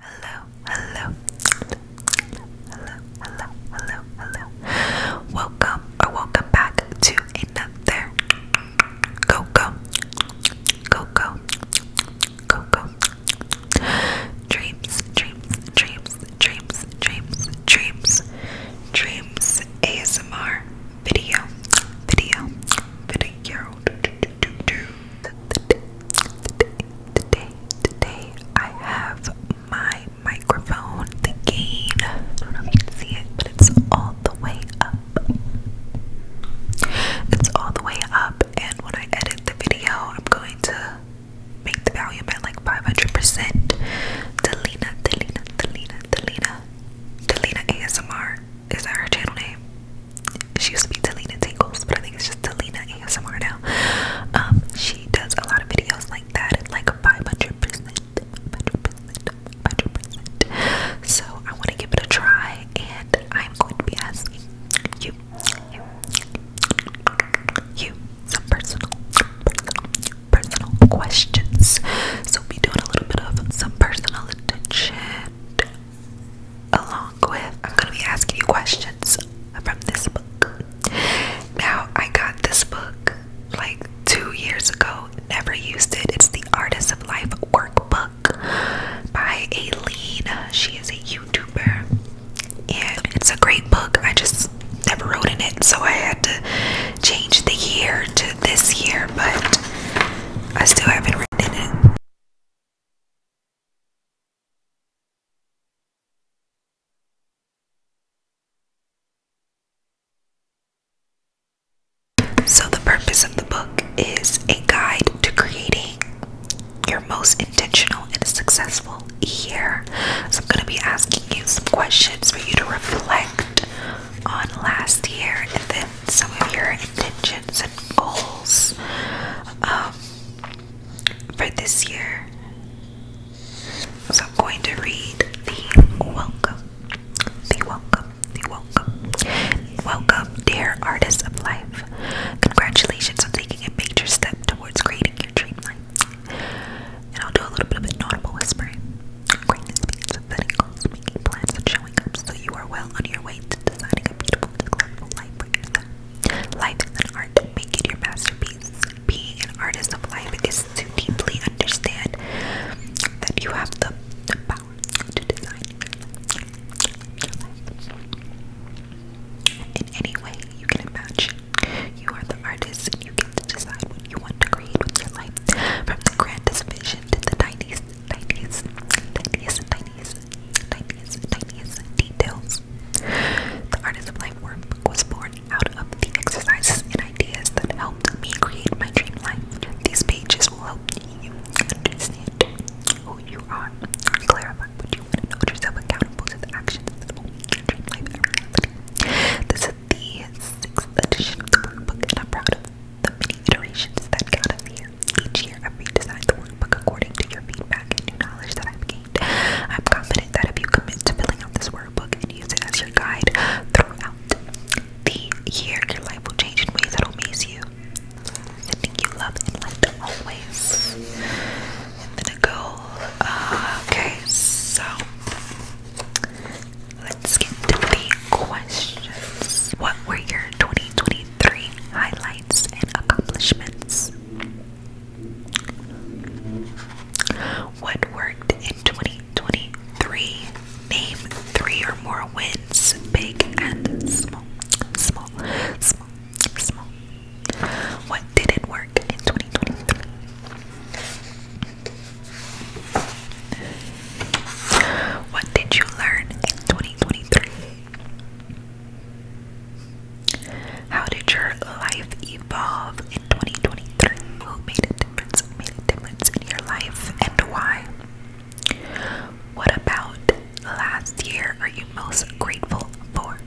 Hello, hello, hello, hello, hello, hello. Welcome or welcome back to another go go go go go go dreams, dreams, dreams, dreams, dreams, dreams, dreams ASMR video, video, video do Today, today, today, I have my microphone, the gain. I don't know if you can see it, but it's all the way up. It's all the way up, and when I edit the video, I'm going to make the volume at like 500%. Delina, Delina, Delina, Delina. Delina ASMR. Is that her channel name? she used to be Delina Tingles, but I think it's just Delina ASMR now. Um, she does a lot of videos like that, like 500 percent, So I want to give it a try, and I'm going to be asking you, you, some personal, personal, personal questions. So we'll be doing a little bit of some personal attention along with I'm gonna be asking you questions from this book. Now I got this book like two years ago, never used it. It's the Artist of Life workbook by Aileen. She is a YouTuber and it's a great book. I just never wrote in it, so I had to change the year to this year, but I still haven't written in it. So, the purpose of the book is a guide to creating your most intentional and successful year. So, I'm going to be asking you some questions for you to reflect on last year and then some of your intentions and goals. Um, for this year. So I'm going to read the welcome, the welcome, the welcome. Welcome, dear artists of life. Congratulations on taking a major step towards creating your dream life. And I'll do a little bit of an audible whispering. Greatness means setting goals, making plans, and showing up so you are well on your way to designing a beautiful, successful life Life is an art. Make it your masterpiece. Being an artist of life is to deeply understand that you have the, the power to design your life in any way you can imagine. You are the artist and you get to decide what you want to create with your life. From the grandest vision to the tiniest, tiniest, tiniest, tiniest, tiniest, tiniest, details. The artist of life work was born out of the exercises and ideas that helped me create my dream life. These pages will help you understand who you are, clarify what you want, hold yourself accountable to the actions that will make your dream life a reality. This is the sixth edition of the workbook, I'm proud of the many iterations that got us here. Each year, I redesign the workbook according to your feedback and new knowledge that I've gained. I'm confident that if you commit to filling out this workbook and use it as your guide throughout the year, your life will change in ways that'll amaze you. I think you love and light always. And then it okay, so let's get to the questions. What were your 2020 three highlights and accomplishments. What worked in 2023? Name three or more wins, big and small, small, small, small. What didn't work in 2023? What did you learn in 2023? How did your life evolve in 2023? Who made a difference? Made a difference in your life and why? What about last year are you most grateful for?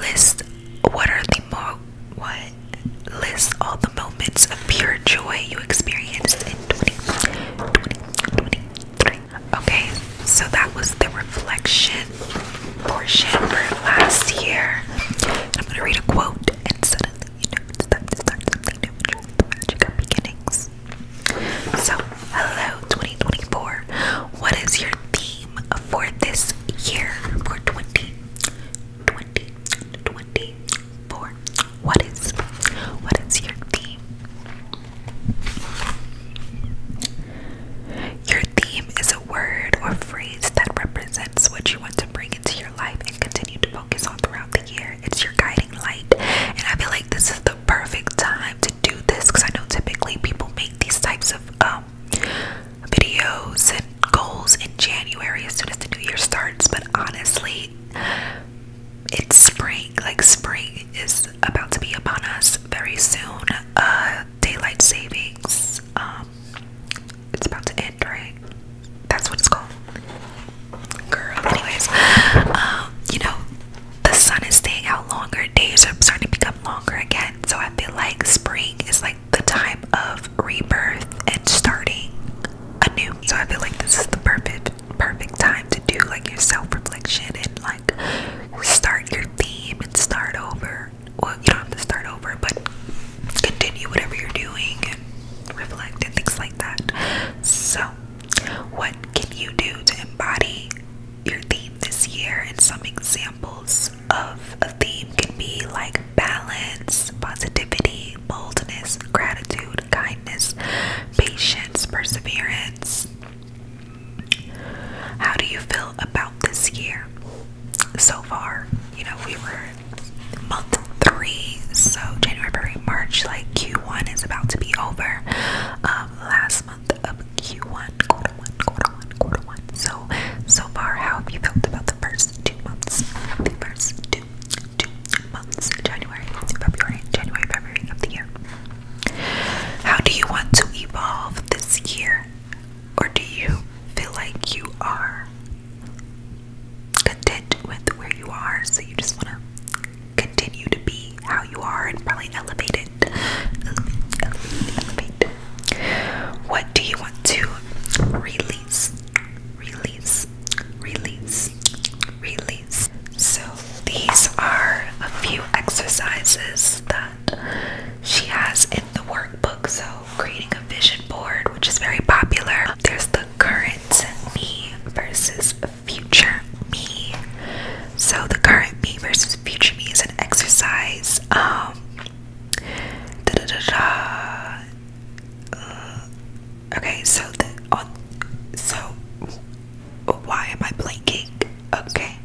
List what are the more what list all the moments of pure joy you experienced in 2020, Okay, so that was the reflection portion for last year. I'm gonna read a quote, and suddenly you know it's time to start something new. the magic of beginnings. So, hello, 2024. What is your theme for this year? For 20, 20, 24. What is what is your theme? Your theme is a word or phrase that represents what you want to bring into your life and continue to focus on throughout the year. It's your guiding light. And I feel like this is the perfect time to do this because I know typically people make these types of um, videos and goals in January as soon as the new year starts. But honestly, it's spring. Like spring is about to be upon us very soon. Uh, daylight savings. Um, it's about to end, right? That's what it's called. Girl, anyways, um, you know, the sun is staying out longer. Days are starting to become longer again. So I feel like spring is like the time of rebirth and starting anew. So I feel like this is the perfect perfect time to do like your self-reflection and like start your theme and start over well you don't have to start over but continue whatever you're doing and reflect and things like that so what can you do to embody your theme this year and some examples of a theme can be like balance positivity boldness gratitude kindness patience, perseverance. How do you feel about this year so far? You know, we were month three, so January, February, March, like Q1 is about to be over. Um, last month of Q1, quarter one, quarter one, quarter one. So, so far, how have you felt about the first two months? The first two, two, months January, February, January, February of the year. How do you want to evolve this year? Or do you feel like you are content with where you are? So you just want to continue to be how you are and probably elevate it. Elevate, What do you want to release? Release, release, release. So, these are a few exercises that she has in the workbook. So, creating a vision board, which is very popular. There's the current me versus future me. So, the current me versus future me is an exercise. da da da Okay, so the on so why am I blanking? Okay,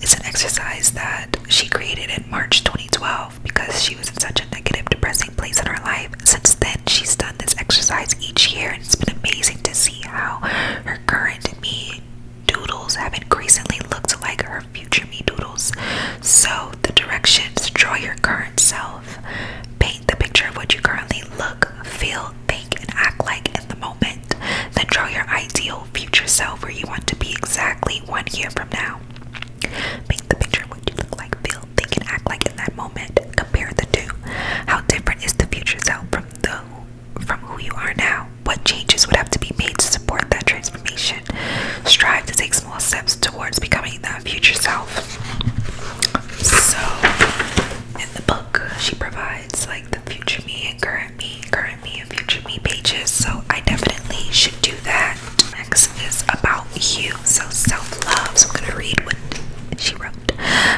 it's an exercise that she created in March 2012 because she was in such a negative, depressing place in her life. Since then, she's done this exercise each year, and it's been amazing to see how her current me doodles have increasingly looked like her future me doodles. So, the directions draw your current self, paint the picture of what you currently look, feel, fake and act like in the moment, then draw your ideal future self where you want to be exactly one year from now. Paint the picture of what you look like, feel, think, and act like in that moment. Compare the two. How different is the future self from the from who you are now? What changes would have to be made to support that transformation? Strive to take small steps towards becoming that future self. So the book she provides like the future me and current me, current me and future me pages. So I definitely should do that. Next is about you. So self-love. So I'm gonna read what she wrote.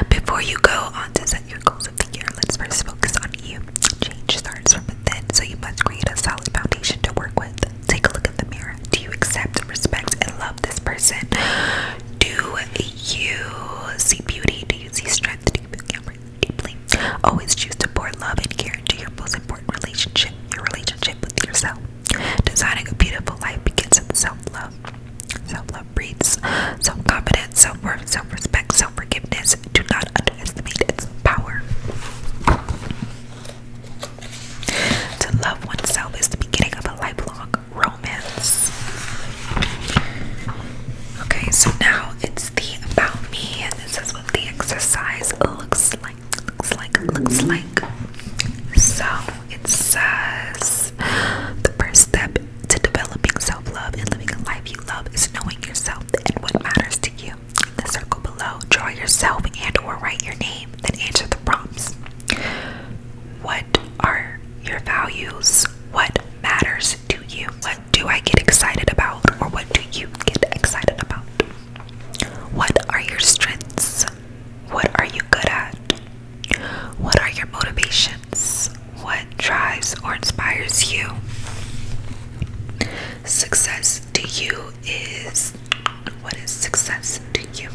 Before you go on to set your goals of the year, let's first focus on you. Change starts from within, so you must create a solid foundation to work with. Take a look in the mirror. Do you accept, respect, and love love this person. Do you see beauty? Do you see strength? Do you feel deeply? Always choose to pour love and care into your most important relationship, your relationship with yourself. Designing a beautiful life begins with self-love. Self-love breeds self-confidence, self-worth, self-respect, self-forgiveness. Do not underestimate its power. To love oneself is the beginning of a lifelong romance. Okay, so now it's the about me, and this is what the exercise looks like. Looks like, looks like. So it says the first step to developing self love and living a life you love is knowing yourself and what matters to you. In the circle below, draw yourself and/or write your name, then answer the prompts. What what are your values? What matters to you? What do I get excited about? Or what do you get excited about? What are your strengths? What are you good at? What are your motivations? What drives or inspires you? Success to you is what is success to you?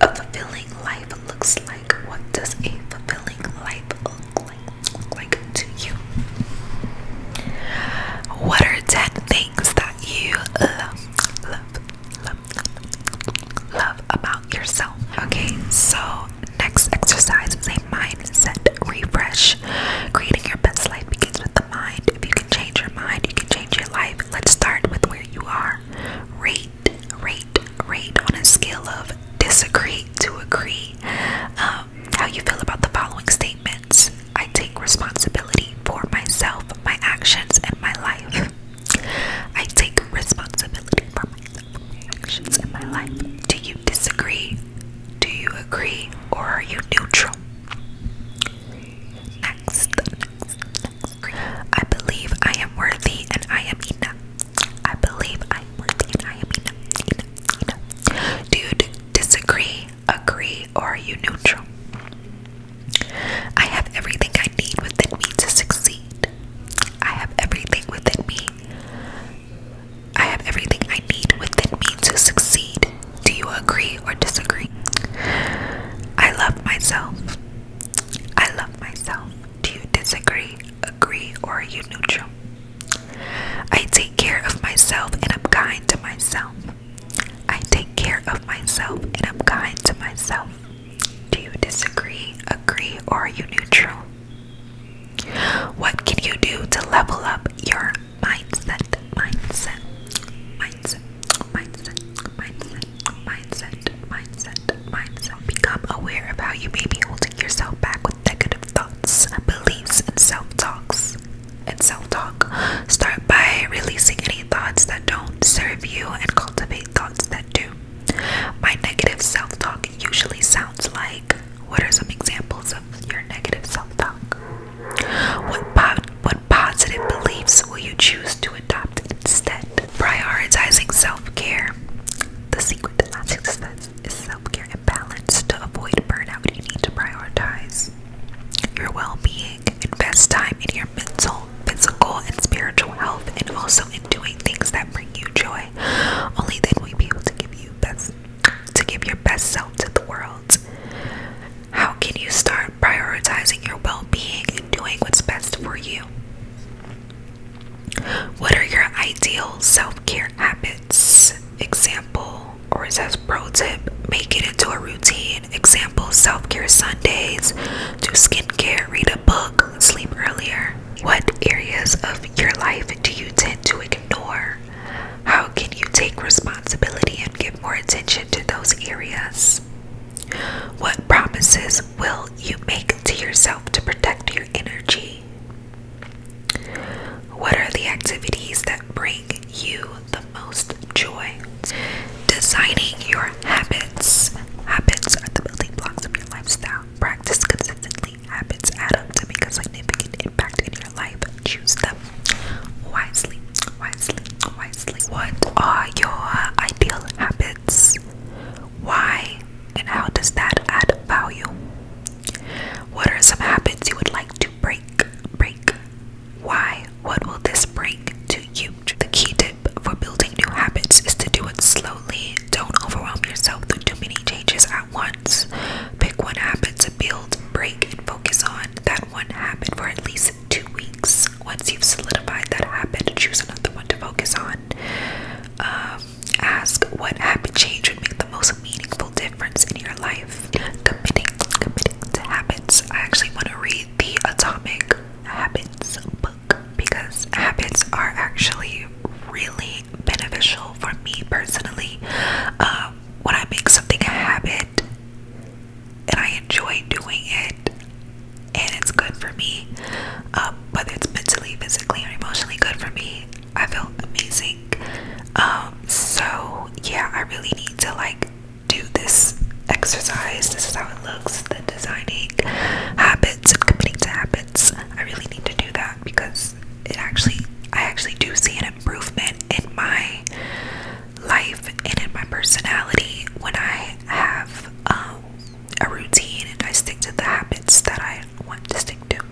A fulfilling life looks like what does a fulfilling life look like, like to you? What are 10 things that you love, love, love, love about yourself? Okay, so next exercise is a mindset refresh. Creating your best life begins with the mind. If you can change your mind, you can change your life. Let's start with where you are. Rate rate, rate on a scale of disagree to agree. Um, how you feel about the following statements. I take responsibility for myself, my actions, and my life. I take responsibility for my actions, and my life. Do you disagree? Do you agree? Or are you neutral? next, I believe I am worthy and I am enough. I believe I am worthy and I am enough. enough, enough. Do you disagree, agree, or are you neutral? I have everything I need within me to succeed. I have everything within me. I have everything I need within me to succeed. Do you agree or disagree? I love myself. I love myself. Do you disagree, agree, or are you neutral? I take care of myself and I'm kind to myself. I take care of myself and I'm kind to myself. Do you disagree, agree, or are you neutral? What can you do to level up your mindset? Mindset. Mindset mindset, mindset, mindset, mindset, mindset. Become aware of how you may be holding yourself back with negative thoughts, beliefs, and self-talks. And self-talk. Start by releasing any thoughts that don't serve you and cultivate thoughts that do. My negative self-talk usually sounds like what are some examples of your negative self-talk? What po what positive beliefs will you choose to adopt? instead. Prioritizing self care. The secret to lasting success is self care and balance. To avoid burnout, you need to prioritize your well being, invest time in your mental, physical, and spiritual health, and also in doing things that bring you joy. Only then will you be able to give you best to give your best self to the world. How can you start? prioritizing your well being and doing what's best for you. What are your ideal self care habits? Example, or as a pro tip, make it into a routine. Example, self care Sundays, do skincare, read a book, sleep earlier. What areas of your life do you tend to ignore? How can you take responsibility and give more attention to those areas? What promises will you make to yourself to protect your energy? What are the activities that bring you the most joy? Designing your habits. Habits are the building blocks of your lifestyle. Practice consistently. Habits add up to make a significant impact in your life. Choose them wisely, wisely, wisely. What are your ideal habits? Why and how does that add value? What are some habits you would like to break? Break. Why? What will this bring to you? The key tip for building new habits is to do it slowly. Don't overwhelm yourself with too many changes at once. Pick one habit to build, break, and focus on that one habit for at least two weeks. Once you've solidified that habit, choose another one to focus on. Um, ask what habit change would make the most meaningful difference in your life. Committing, committing to habits. I actually want to read the Atomic Habits book because habits are actually really beneficial for me personally. Um, when I make something a habit, and I enjoy doing it, and it's good for me. Um, whether it's mentally, physically, or emotionally good for me, I feel amazing. Um, so yeah, I really need to like do this exercise. This is how it looks. The designing habits and committing to habits. I really need to do that because it actually, I actually do see an improvement in my life and in my personality when I have um, a routine and I stick to the habits that I want to stick to.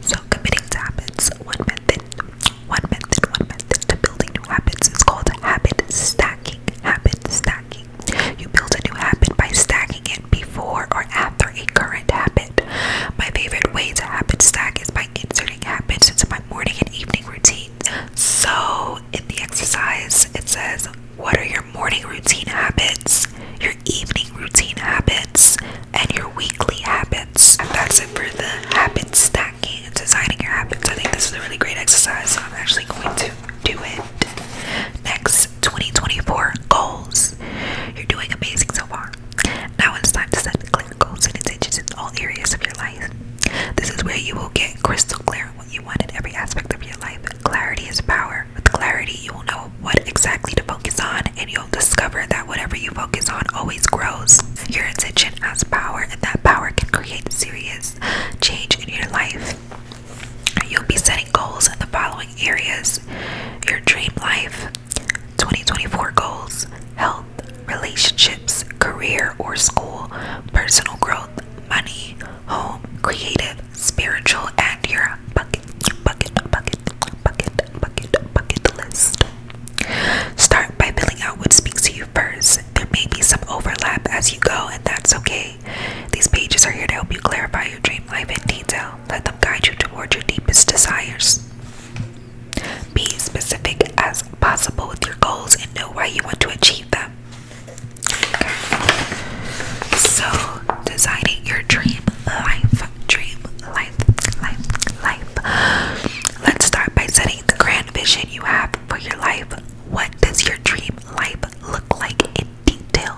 So, committing to habits, one method, one method, one method to building new habits is called habit stacking. Habit stacking. You build a new habit by stacking it before or after a current habit. My favorite way to habit stack is by inserting habits into my morning and evening routine. So, in the exercise, it says, What are your morning routine habits, your evening routine habits, and your weekly habits? And that's it for the habit stacking and designing your habits. I think this is a really great exercise, so I'm actually going to do it. Next, 2024 goals. You're doing amazing so far. Now it's time to set clear goals and intentions in all areas of your life. This is where you will get crystal clear what you want in every aspect of your life. Clarity is power. With clarity, you will know what exactly to focus on, and you'll discover that whatever you focus on always grows. Your intention has power, and that power can create serious change in your life. You'll be setting goals in the following areas your dream life, 2024 goals, health, relationships, career or school, personal growth, money, home, creative, spiritual, and your bucket, bucket, bucket, bucket, bucket, bucket list. Start by filling out what speaks to you first. There may be some overlap as you go, and that's okay. These pages are here to help you clarify your dream life in detail. Let them guide you toward your deepest desires. Be specific as possible with your goals and know why you want to achieve them. So, designing your dream life, dream life, life, life. Let's start by setting the grand vision you have for your life. What does your dream life look like in detail?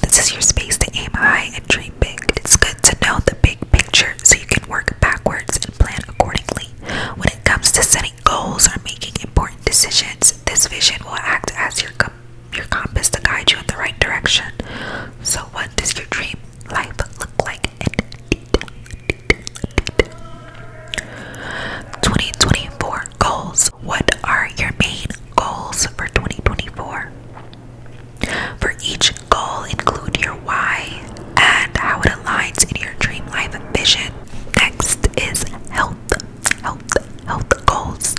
This is your space to aim high and dream big. It's good to know the big picture so you can work backwards and plan accordingly. When it comes to setting goals are making important decisions, this vision will act as your your compass to guide you in the right direction. So, what does your dream life look like 2024 goals? What are your main goals for 2024? For each goal, include your why, and how it aligns in your dream life vision. Next is health, health, health goals.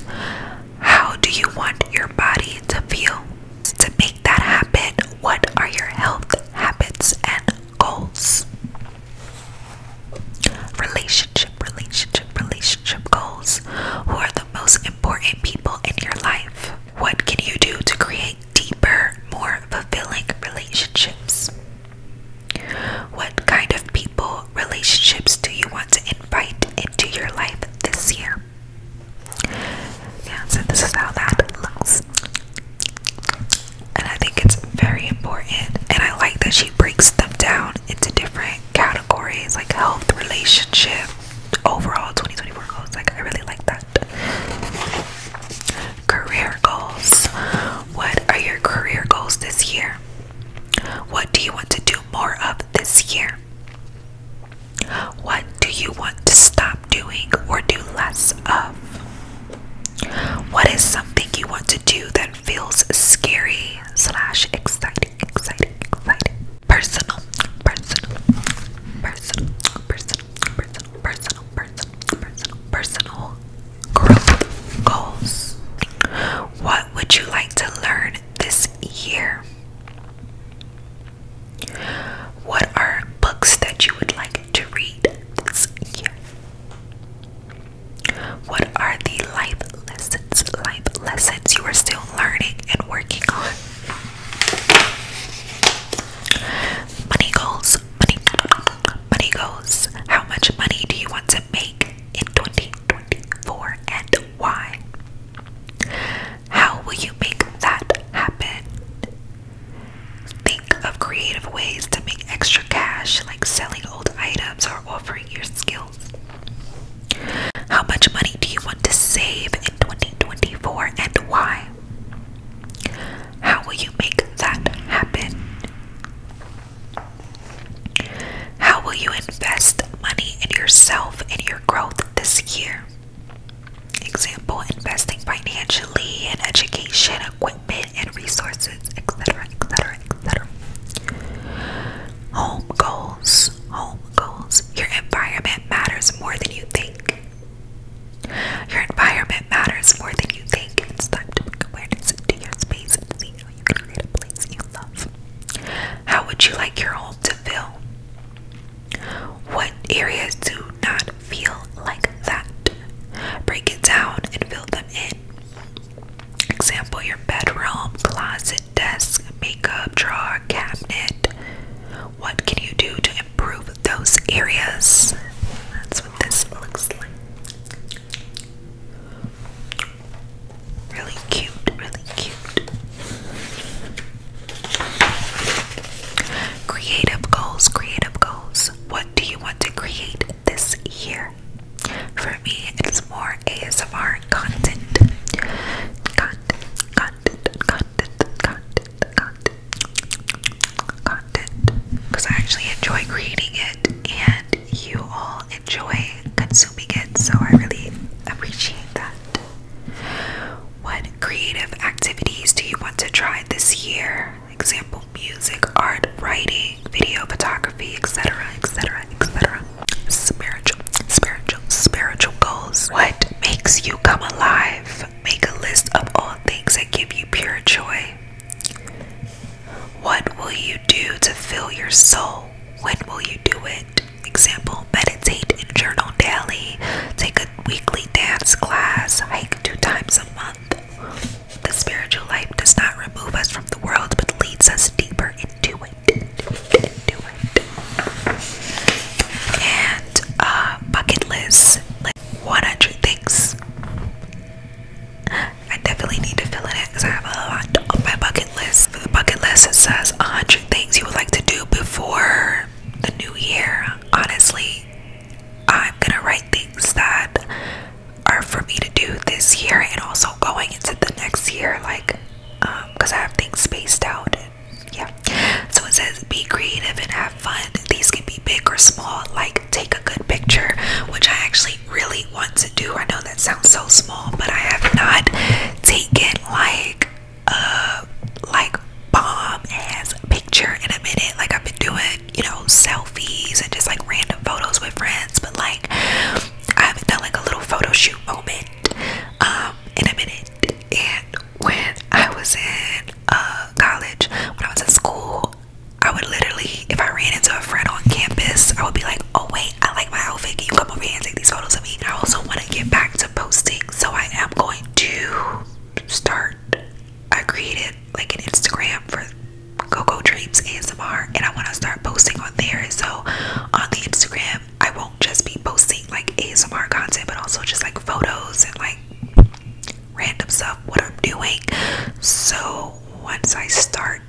How do you want your body to feel? To make that happen, what are your health habits and goals? Relationship, relationship, relationship goals. Who are the most important people in your life? What can you do to create deeper, more fulfilling relationships? What kind of people, relationships do you want to invite into your life this year? Yeah, so this is how that looks. And I think it's very important. And I like that she breaks them down into different categories like health, relationship, overall 2024 goals. Like, I really like that. Career goals. What are your career goals this year? What do you want to do more of this year? What do you want to stop doing or do less of? What is something you want to do that feels scary slash exciting, exciting, exciting? Personal, personal, personal, personal, personal, personal, personal, personal, growth goals. What would you like to learn this year? What are books that you would like to read this year? What are the life lessons, life lessons you are still learning and working on? Money goals, money, money goals. How much money do you want to make in 2024 and why? How will you make that happen? Think of creative ways to make extra cash, like selling old items or offering your skills. How much money do you want to save in 2024 and why? How will you make that happen? How will you invest money in yourself and your growth this year? Example, investing financially in education, equipment, and resources, etc., etc., etc. Home goals, home goals. Your environment matters more than you think. Your environment matters more than you think. It's time to bring awareness into your space and see how you can create a place you love. How would you like your home to feel? What areas do not feel like that? Break it down and fill them in. Example your bedroom, closet, desk, makeup, drawer, cabinet. What can you do to improve those areas? That's what this looks like. Really cute, really cute. Creative goals, creative goals. What do you want to create this year? For me, it's more ASMR content. Content, content, content, content, content content because I actually enjoy creating it and you all enjoy consuming it, so I really appreciate that. What creative activities do you want to try this year? Example music, art, writing, video photography, etc., etc., etc. Spiritual, spiritual, spiritual goals. What makes you come alive? Make a list of all things that give you pure joy. What will you do to fill your soul? When will you do it? Example, meditate and journal daily, take a weekly dance class, hike two times a month. The spiritual life does not remove us from the world but leads us deeper into it. And uh, bucket list, like 100 things I definitely need to fill it in because I have a lot on my bucket list. For the bucket list, it says 100 things you would like to do before the new year. Honestly, I'm gonna write things that are for me to do this year and also going into the next year, like because um, I have things spaced out. yeah, so it says be creative and have fun. These can be big or small, like take a good picture, which I actually really want to do. I know that sounds so small, but I have not taken like a like bomb ass picture in a minute. Like I've been doing, you know, selfies and just like random photos with friends, but like I haven't done like a little photo shoot moment um in a minute. And when I was in uh, college, when I was in school, I would literally, if I ran into a friend on campus, I would be like, oh wait, I like my outfit. Can you come over here and take these photos of me? I also want to get back to posting. So I am going to start, I created like an Instagram for GoGo Dreams ASMR and I want to start posting on there. So on the Instagram, I won't just be posting like ASMR content, but also just like photos and like random stuff what I'm doing. So once I start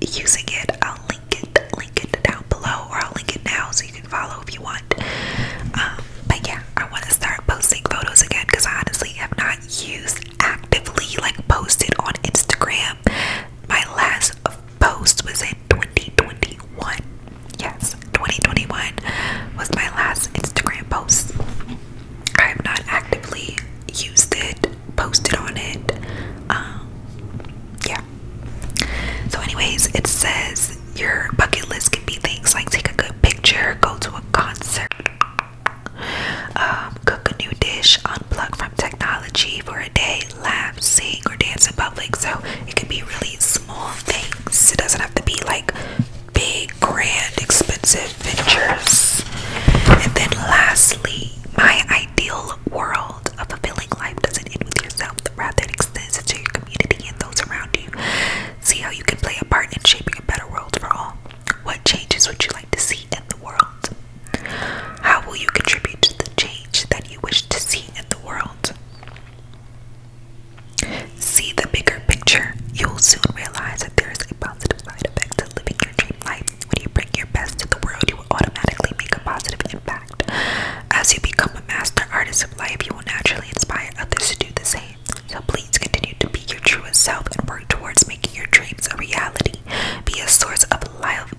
using it, I'll link it, link it down below, or I'll link it now so you can follow if you want. Um, but yeah, I want to start posting photos again because I honestly have not used actively like posted on Instagram. My last post was in 2021. Yes, 2021 was my last Instagram post. I have not actively used it, posted on it. Um, yeah. So, anyways, it says your bucket list can be things like take a good picture, go to a concert, um, cook a new dish, unplug from technology for a day, laugh, sing, or dance in public. So, it can be really small things. It doesn't have to be like big, grand, expensive ventures. And then lastly, my ideal world of fulfilling life doesn't end with yourself, rather it extends into your community and those around you. See how you can play a part in shaping a better world for all. What changes would you like to see in the world? How will you contribute to the change that you wish to see in the world? See the bigger picture. You'll soon realize that there is a positive side effect to living your dream life. When you bring your best to the world, you will automatically make a positive impact. As you become a master artist of life, you will naturally inspire others to do the same. So please continue to be your truest self and work towards making your dreams a reality. Be a source of life.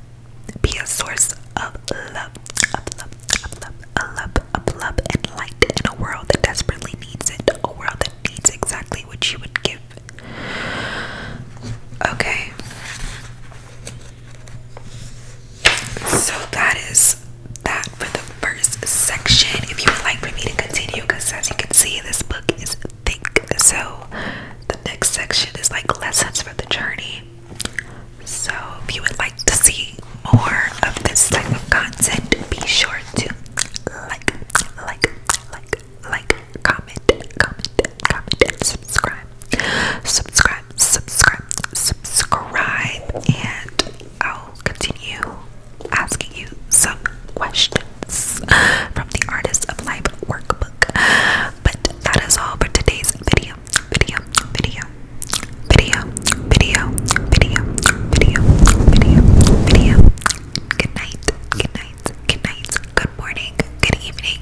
Be a source of love, of love, of love, of love, of love and light in a world that desperately needs it. A world that it's exactly what she would give. Okay. So that is that for the first section. If you would like for me to continue, because as you can see, this book is thick. So the next section is like lessons for the journey. So if you would like to see more of this type of content, be sure to like, like, like, like, comment, comment, comment, subscribe. Subscribe, subscribe, subscribe, and I'll continue asking you some questions from the Artist of Life workbook. But that is all for today's video, video, video, video, video, video, video, video, video. Good night, good night, good night, good morning, good evening,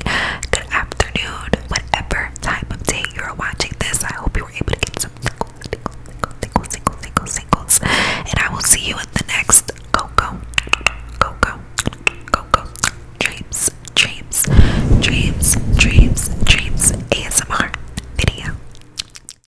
good afternoon, whatever time of day you're watching this. I hope you were able to get some tingles, tingles, tingles, tingles, tingles, tingles. And I will see you in the next Coco, Coco, Coco, Dreams, Dreams, Dreams, Dreams, Dreams ASMR video.